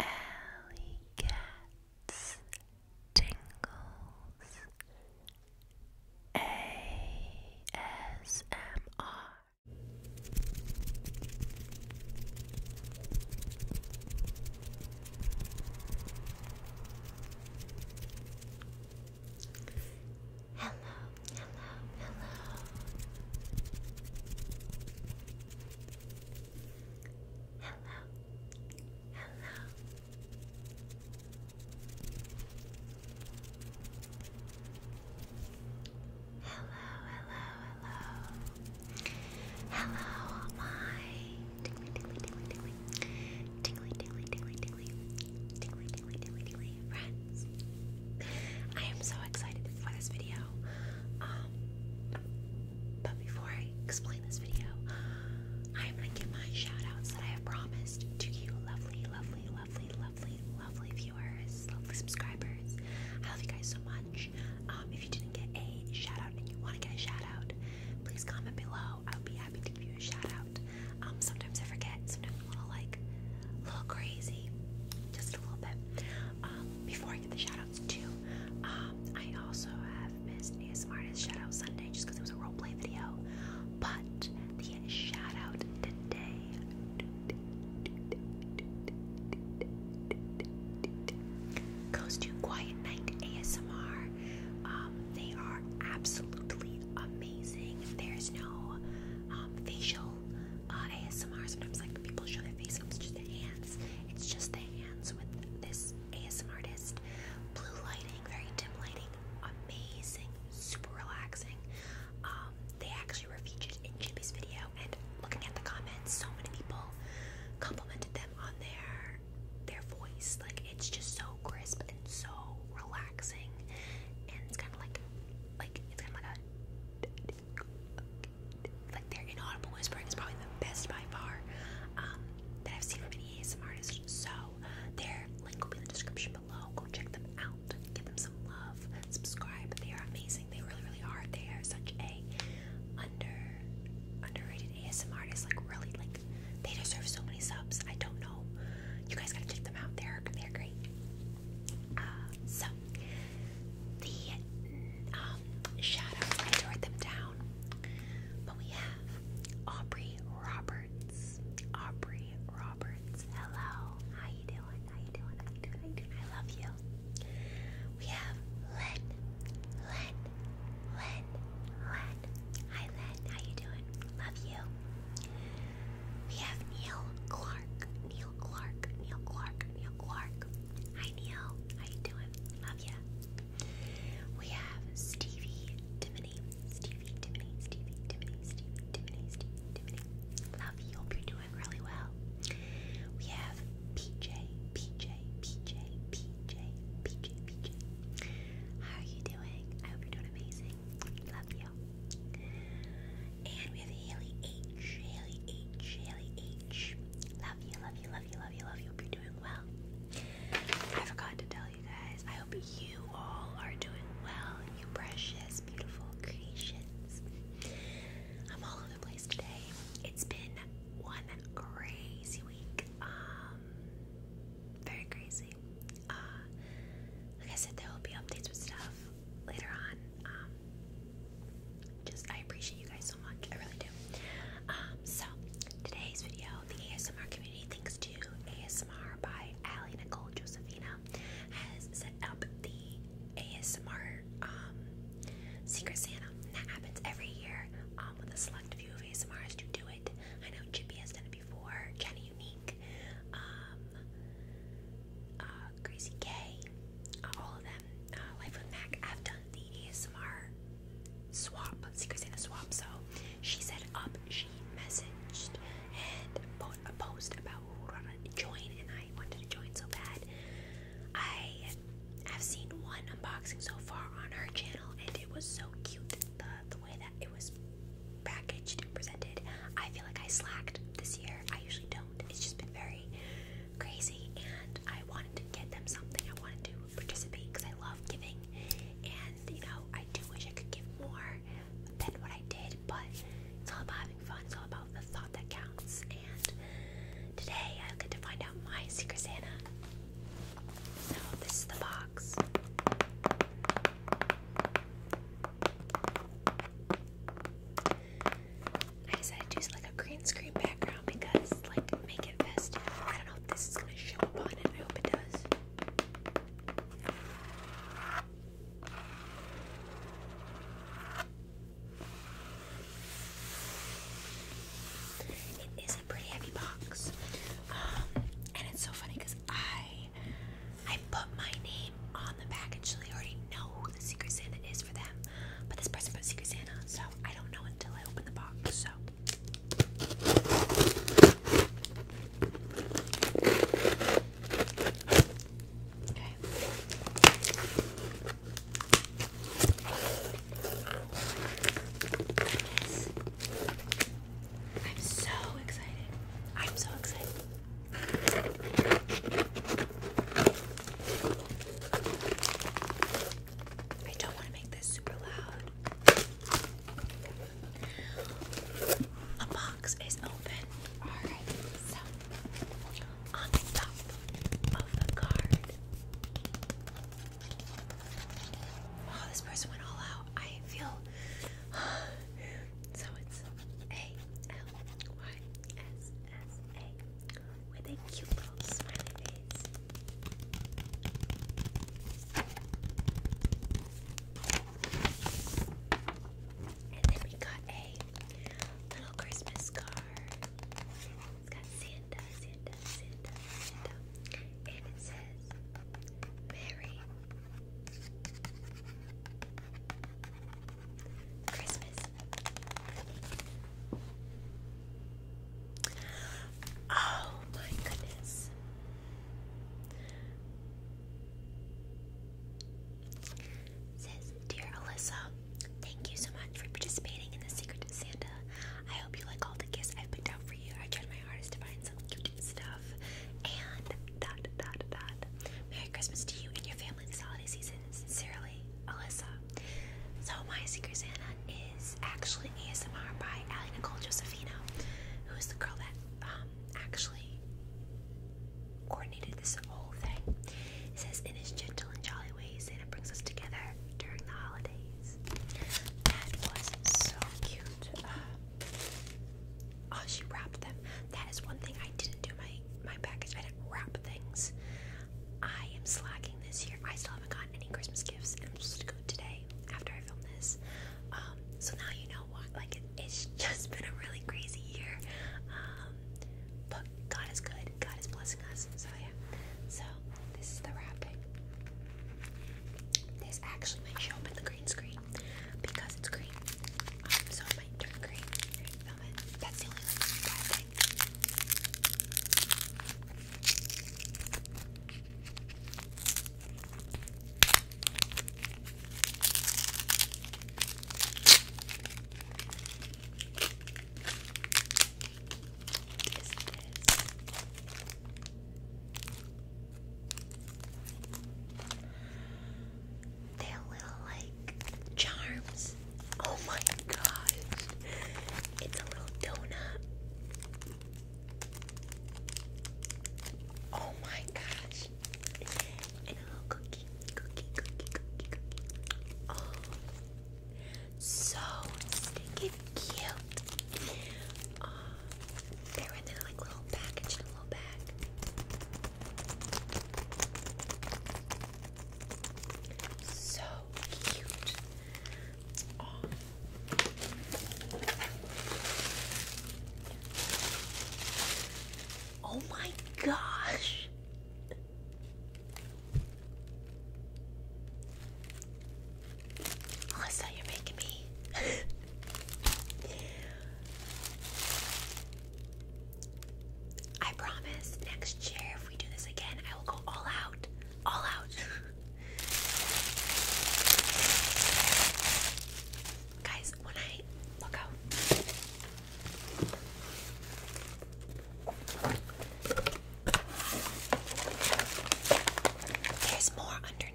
Alley Cats Tingles ASMR Hello, hello, hello. Hello. Hello. Hello, hello, hello. Hello, my tingly, tingly, tingly, tingly, tingly, tingly, tingly, tingly friends. I am so excited for this video. Um, but before I explain this video, I am gonna give my shout outs that I have promised to you, lovely, lovely, lovely, lovely, lovely viewers, lovely subscribers. I love you guys so much. Um, if you didn't get a shout out and you want to get a shout out, please comment below. I would be happy to give you a shout out. Um, sometimes I forget, sometimes I'm a little like a little crazy, just a little bit. Um, before I get the shoutouts too, um, I also have Miss ASMR's shoutout Sunday just because it was a roleplay video. But the shoutout today goes to Quiet Night ASMR. Um, they are absolutely amazing. There's no facial uh, ASMR, sometimes like people show their face, it's just the hands. It's just the hands with this ASMR artist. Blue lighting, very dim lighting, amazing, super relaxing. Um, they actually were featured in Chibi's video, and looking at the comments, so many people complimented them on their their voice. Like it's just so crisp and so relaxing, and kind of like like it's kind of like a like their inaudible whispering is probably the best by far um, that I've seen from any ASMR artist. So their link will be in the description below. Go check them out. Give them some love. Subscribe. They are amazing. They really, really are. They are such a under underrated ASMR artist. Like really, like they deserve so many subs. I don't know. You guys gotta check them out. They're they're great. Uh, so the um, I wrote them down, but we have Aubrey Roberts. Aubrey Roberts, hello. How you doing? How you doing? How you doing? I love you. We have Len, Len, Len, Len. Hi Len, how you doing? Love you. We have Neil Clark. Neil Clark. Neil Clark. Neil Clark. Hi Neil. How you doing? Love ya. We have Stevie Dimini. Stevie Dimini. Stevie Dimini. Stevie Dimini. Stevie Dimini. Love you. Hope you're doing really well. We have PJ. PJ. PJ. PJ. PJ. PJ. How are you doing? I hope you're doing amazing. Love you. And we have Haley H. Haley H. Haley H. Love you, love you, love you, love you, love you. Hope you're doing well. I forgot to tell you guys. I hope you all are doing well. You precious, beautiful creations. I'm all over the place today. It's been one crazy week. Um, very crazy. Uh, like I said, there will be updates with stuff later on. Um, just I appreciate you guys so much. I really do. Um, so today's video, the ASMR community, thanks to ASMR by Allie Nicole Josephina, has set up the ASMR um, Secret Santa. And that happens every year, with a select few of ASMRs to do it. I know Chippy has done it before, Jenny Unique, um, uh, K, uh, all of them. Uh, Life with Mac. I've done the ASMR swap, Secret Santa swap. So she set up, she messaged and put a post about who join, and I wanted to join so bad. I have seen one unboxing so far on her channel, and it was so cute the way that it was packaged and presented. I feel like I slacked this year. I usually don't. It's just been very crazy, and I wanted to get them something. I wanted to participate because I love giving, and you know, I do wish I could give more than what I did, but it's all about having fun. It's all about the thought that counts. And today I get to find out my Secret Santa. So this is the box. I decided to use like a green screen background because like make it festive. I don't know if this is gonna show up on it. I hope it does. It is a pretty heavy box, um, and it's so funny because I I put my name on the package, so they already know who the Secret Santa is for them. But this person put Secret Santa, so I don't know until I open the box. So. I'm so excited. I'm so excited. I don't want to make this super loud. A box is open. Alright, so on the top of the card. Oh, this person went all out. I feel so it's A L Y S S A with a cute little smiley face. And then we got a little Christmas card. It's got Santa, Santa, Santa, Santa. And it says, Merry Christmas. Oh my goodness. Says, Dear Alyssa, thank you so much for participating in the Secret Santa. I hope you like all the gifts I've picked out for you. I tried my hardest to find something cute stuff. And that, that, that. Merry Christmas to you and your family this holiday season. Sincerely, Alyssa. So, my Secret Santa is actually ASMR by Allie Nicole Josefino, who is the girl that um, actually coordinated this whole thing. It says, In his gentle and jolly way, Santa brings us together during the holidays. That was so cute. Oh, she wrapped them. That is one thing I didn't do my my package. I didn't wrap things. I am slacking this year. I still haven't gotten any Christmas gifts, and I'm supposed to go today after I film this. Um, so now you know what. Like it's just been a really crazy year. Um, but God is good. God is blessing us. So yeah. So this is the wrapping. This actually makes you open the green screen because it's green. Um, so green That's the only like bad thing. They're little like charms. Oh my gosh. It's a little donut. Oh my gosh. And a little cookie. Cookie, cookie, cookie, cookie. Oh. So stinking cute. Uh, they were in like little package in a little bag. So cute. oh, oh my gosh. Melissa, you're making me. I promise next year, if we do this again, I will go all out. All out. Guys, when I look out. There's more under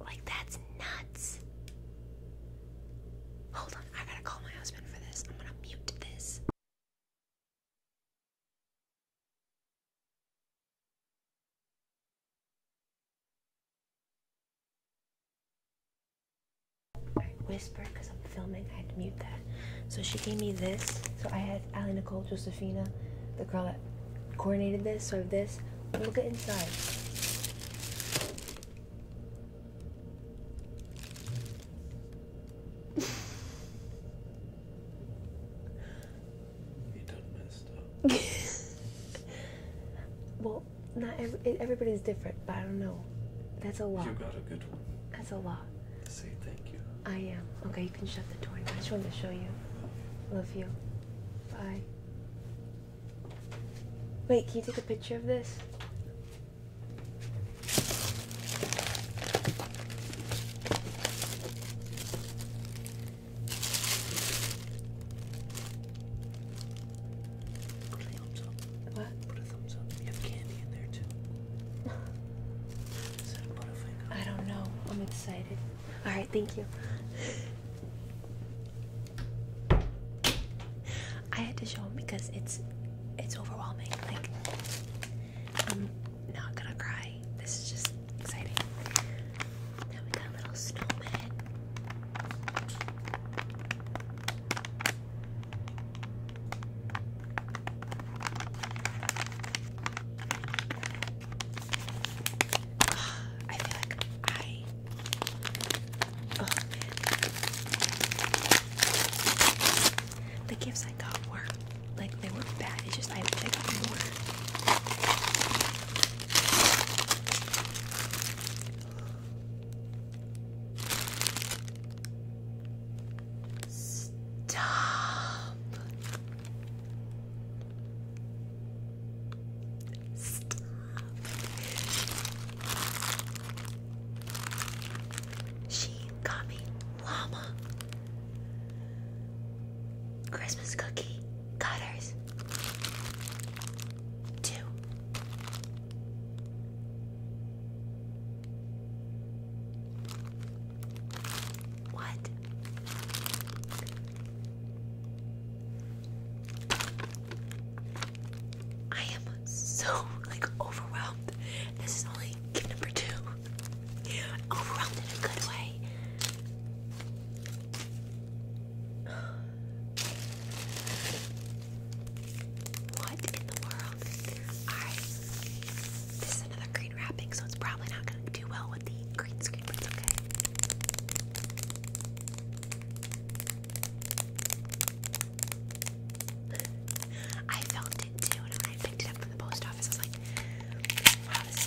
like, that's nuts. Hold on, I gotta call my husband for this. I'm gonna mute this. Whisper, because I'm filming. I had to mute that. So she gave me this. So I had Allie Nicole Josephina, the girl that coordinated this. So I have this. Look at inside. you done messed up. well, not every, everybody's different, but I don't know. That's a lot. You got a good that's a lot. Say thank you. I am. Okay, you can shut the door. I just wanted to show you. Love you. Bye. Wait, can you take a picture of this? Put a thumbs up. What? Put a thumbs up. You have candy in there too. Is that a butterfinger? I don't know. I'm excited. All right, thank you. I had to show him because it's it's overwhelming. Like I'm not gonna cry. This is just exciting. Now we got a little snowman. I feel like I. Oh The gifts I got were like they were not bad. It's just I got more. Stop. Stop. She got me llama. Christmas cookie cutters. Two. What? I am so like overwhelmed. This is only gift number two. Overwhelmed in a good way. What in the world? This is another green wrapping, so it's probably not going to do well with the green screen, but it's okay. I felt it too, and I picked it up from the post office, I was like, wow, this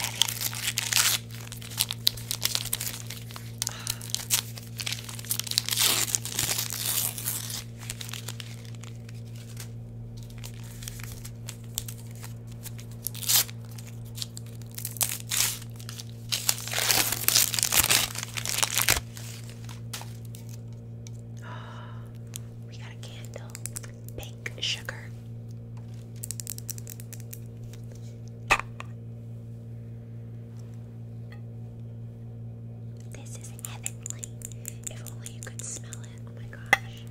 we got a candle, pink sugar. This is heavenly. If only you could smell it. Oh my gosh.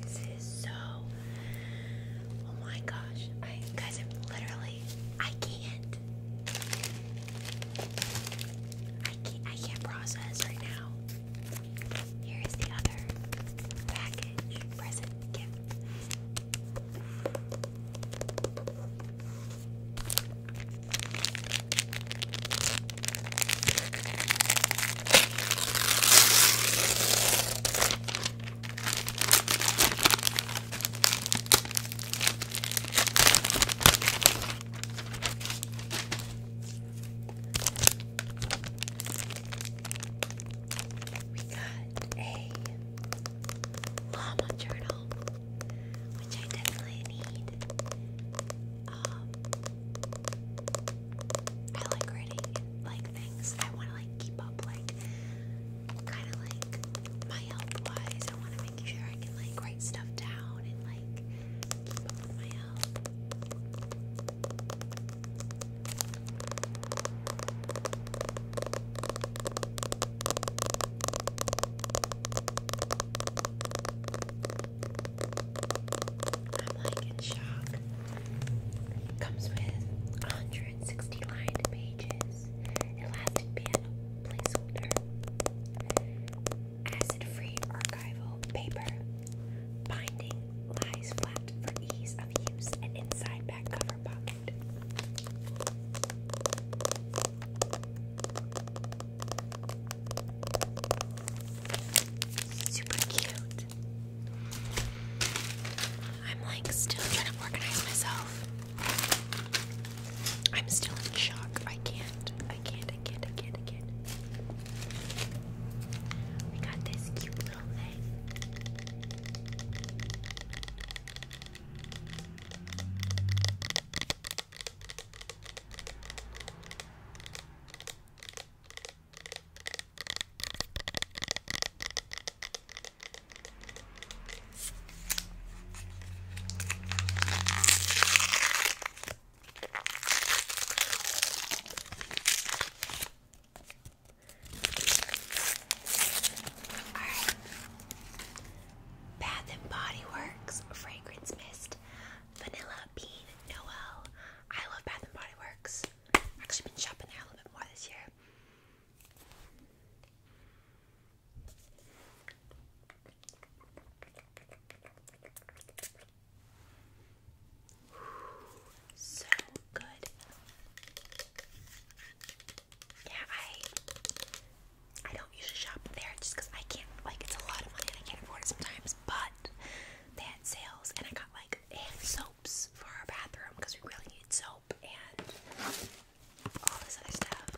This is so. Oh my gosh, guys, I'm literally. I can't. I can't. I can't process right now. Here is the other package, present, gift. We got a llama journal, which I definitely need. Um, I like writing like things. I want to like keep up, like kind of like my health wise. I want to make sure I can like write stuff down and like keep up my health. I'm like in shock. comes with 160 lined pages, elastic band placeholder, acid-free archival paper, binding lies flat for ease of use, and inside back cover pocket. Super cute. I'm like still trying to organize myself. I'm still in shock. I can't. I can't. I can't. I can't. I can't. We got this cute little thing. Alright. Bath and Body Works Fragrance Mist Vanilla Bean Noel. I love Bath and Body Works. I've actually been shopping there a little bit more this year. so good. Yeah, I I don't usually shop there just because I can't, like, it's a lot of money and I can't afford it sometimes. But they had sales, and I got like hand soaps for our bathroom because we really need soap and all this other stuff.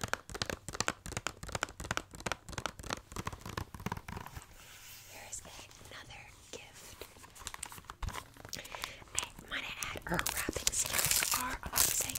Here's another gift. I might add her wrapping skills are amazing.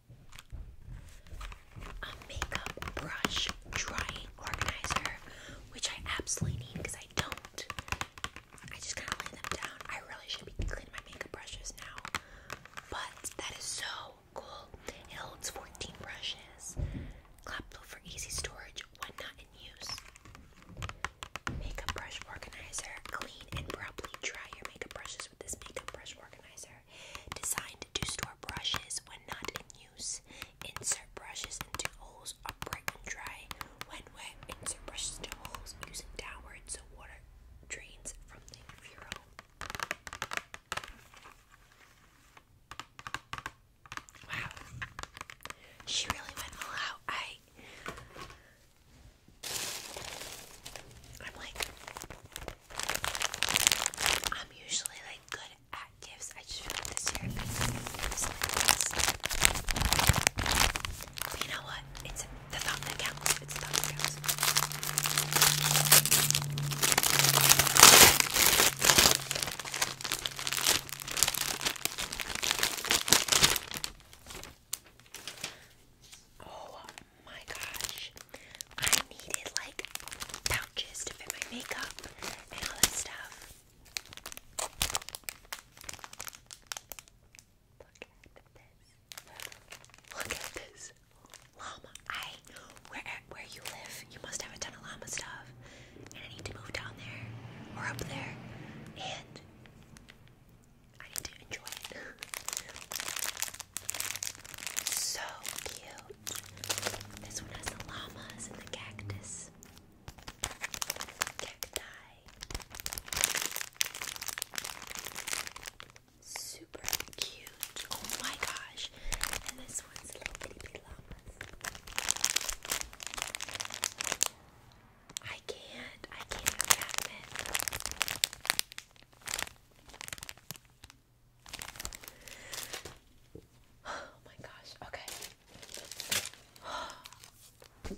a makeup brush drying organizer, which I absolutely need because I don't. I just kind of lay them down. I really should be cleaning my makeup brushes now, but that is so cool. It holds 14 brushes, clappable for easy storage when not in use. Makeup brush organizer. Clean and properly dry your makeup brushes with this makeup brush organizer designed to store brushes when not in use. Insert brushes into holes upright and dry. When wet, insert brushes into holes using downward so water drains from the furrow. Wow, she really went all out. I, I'm like, I'm usually like good at gifts. I just feel like this year i like this. But you know what? It's the thought that counts my gosh. I needed like pouches to fit my makeup and all that stuff. Look at this. Look at this. Llama. I where where you live, you must have a ton of llama stuff. And I need to move down there or up there. And I need to enjoy it. So cute. This one has the llamas and the cactus. Cacti. Super cute. Oh my gosh. And this one's little bitty bitty llamas. I can't. I can't have that. Oh my gosh, okay.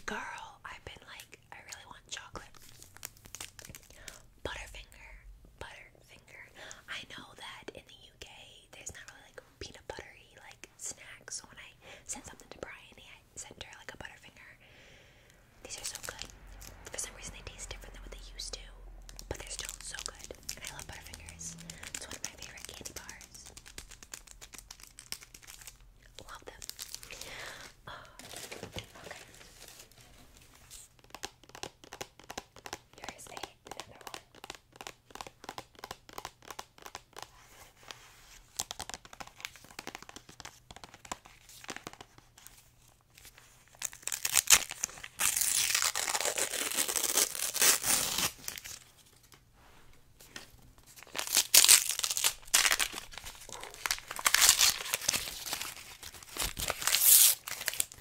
Girl, I've been like, I really want chocolate. Butterfinger, Butterfinger. I know that in the UK there's not really like peanut buttery like snacks. So when I sent something to Brian, I sent her like a Butterfinger. These are so good. For some reason, they taste different than what they used to, but they're still so good. And I love Butterfingers. It's one of my favorite candy bars. Love them. Oh, okay. Here is a, another one.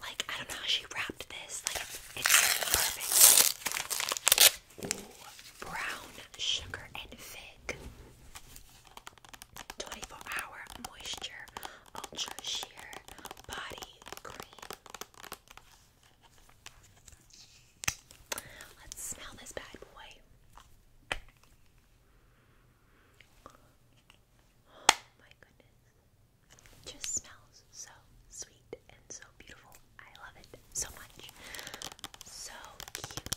Like, I don't know how she wrapped this. Like, it's perfect. Ooh, brown sugar and fig. 24 Hour Moisture Ultra Sheer Body Cream. Let's smell this bad boy. Oh my goodness. just smells so sweet and so beautiful. I love it so much. So cute.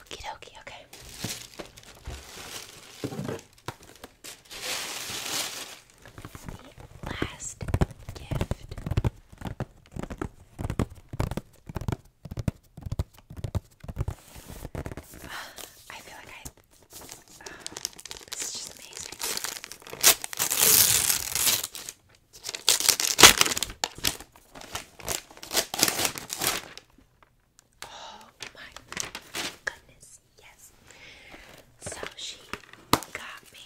Okie dokie, okay. The last gift. I feel like I. this is just amazing. Oh my goodness, yes. So she got me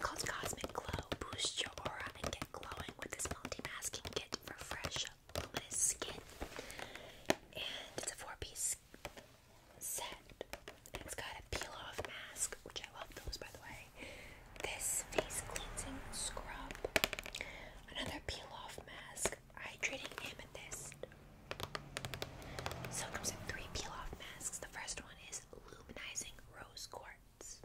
called Cosmic Glow. Boost your aura and get glowing with this multi-masking kit for fresh, luminous skin. And it's a four-piece it's got a peel off mask, which I love those by the way. This face cleansing scrub. Another peel off mask. Hydrating amethyst. So comes in three peel off masks. The first one is Luminizing Rose Quartz.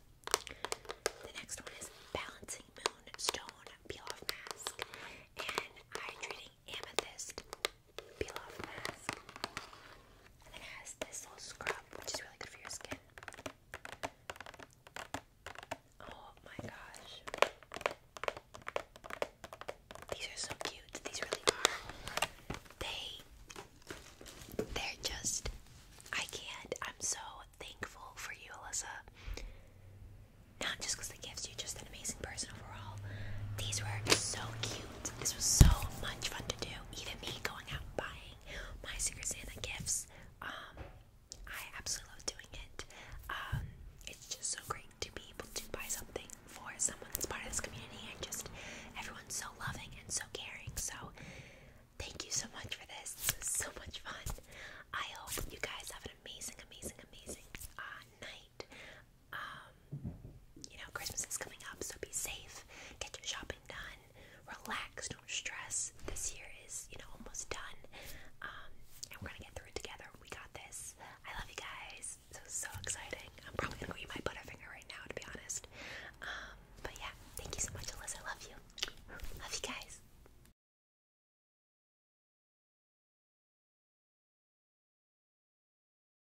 The next one is Balancing Moonstone Peel Off Mask. And Hydrating Amethyst peel mask. it has this little scrub, which is really good for your skin. Oh my gosh. These are so cute. These really are. They they're just I can't. I'm so thankful for you, Alyssa. Not just because the gifts, you're just an amazing person overall. These were so cute. This was so much fun to do even me going out buying my Secret Santa gifts. Um, I absolutely love doing it. Um, it's just so great to be able to buy something for someone that's part of this community, and just everyone's so loving and so caring. So, thank you so much for this. This was so much fun. I hope you guys have an amazing, amazing, amazing uh, night. Um, you know, Christmas is coming up, so be safe. Get your shopping done. Relax. Don't stress. This year is, you know, almost done. Um, and we're gonna get through it together. We got this. I love you guys. So so exciting. I'm probably gonna eat my butterfinger right now, to be honest. Um, but yeah, thank you so much, Alyssa. I love you. Love you guys.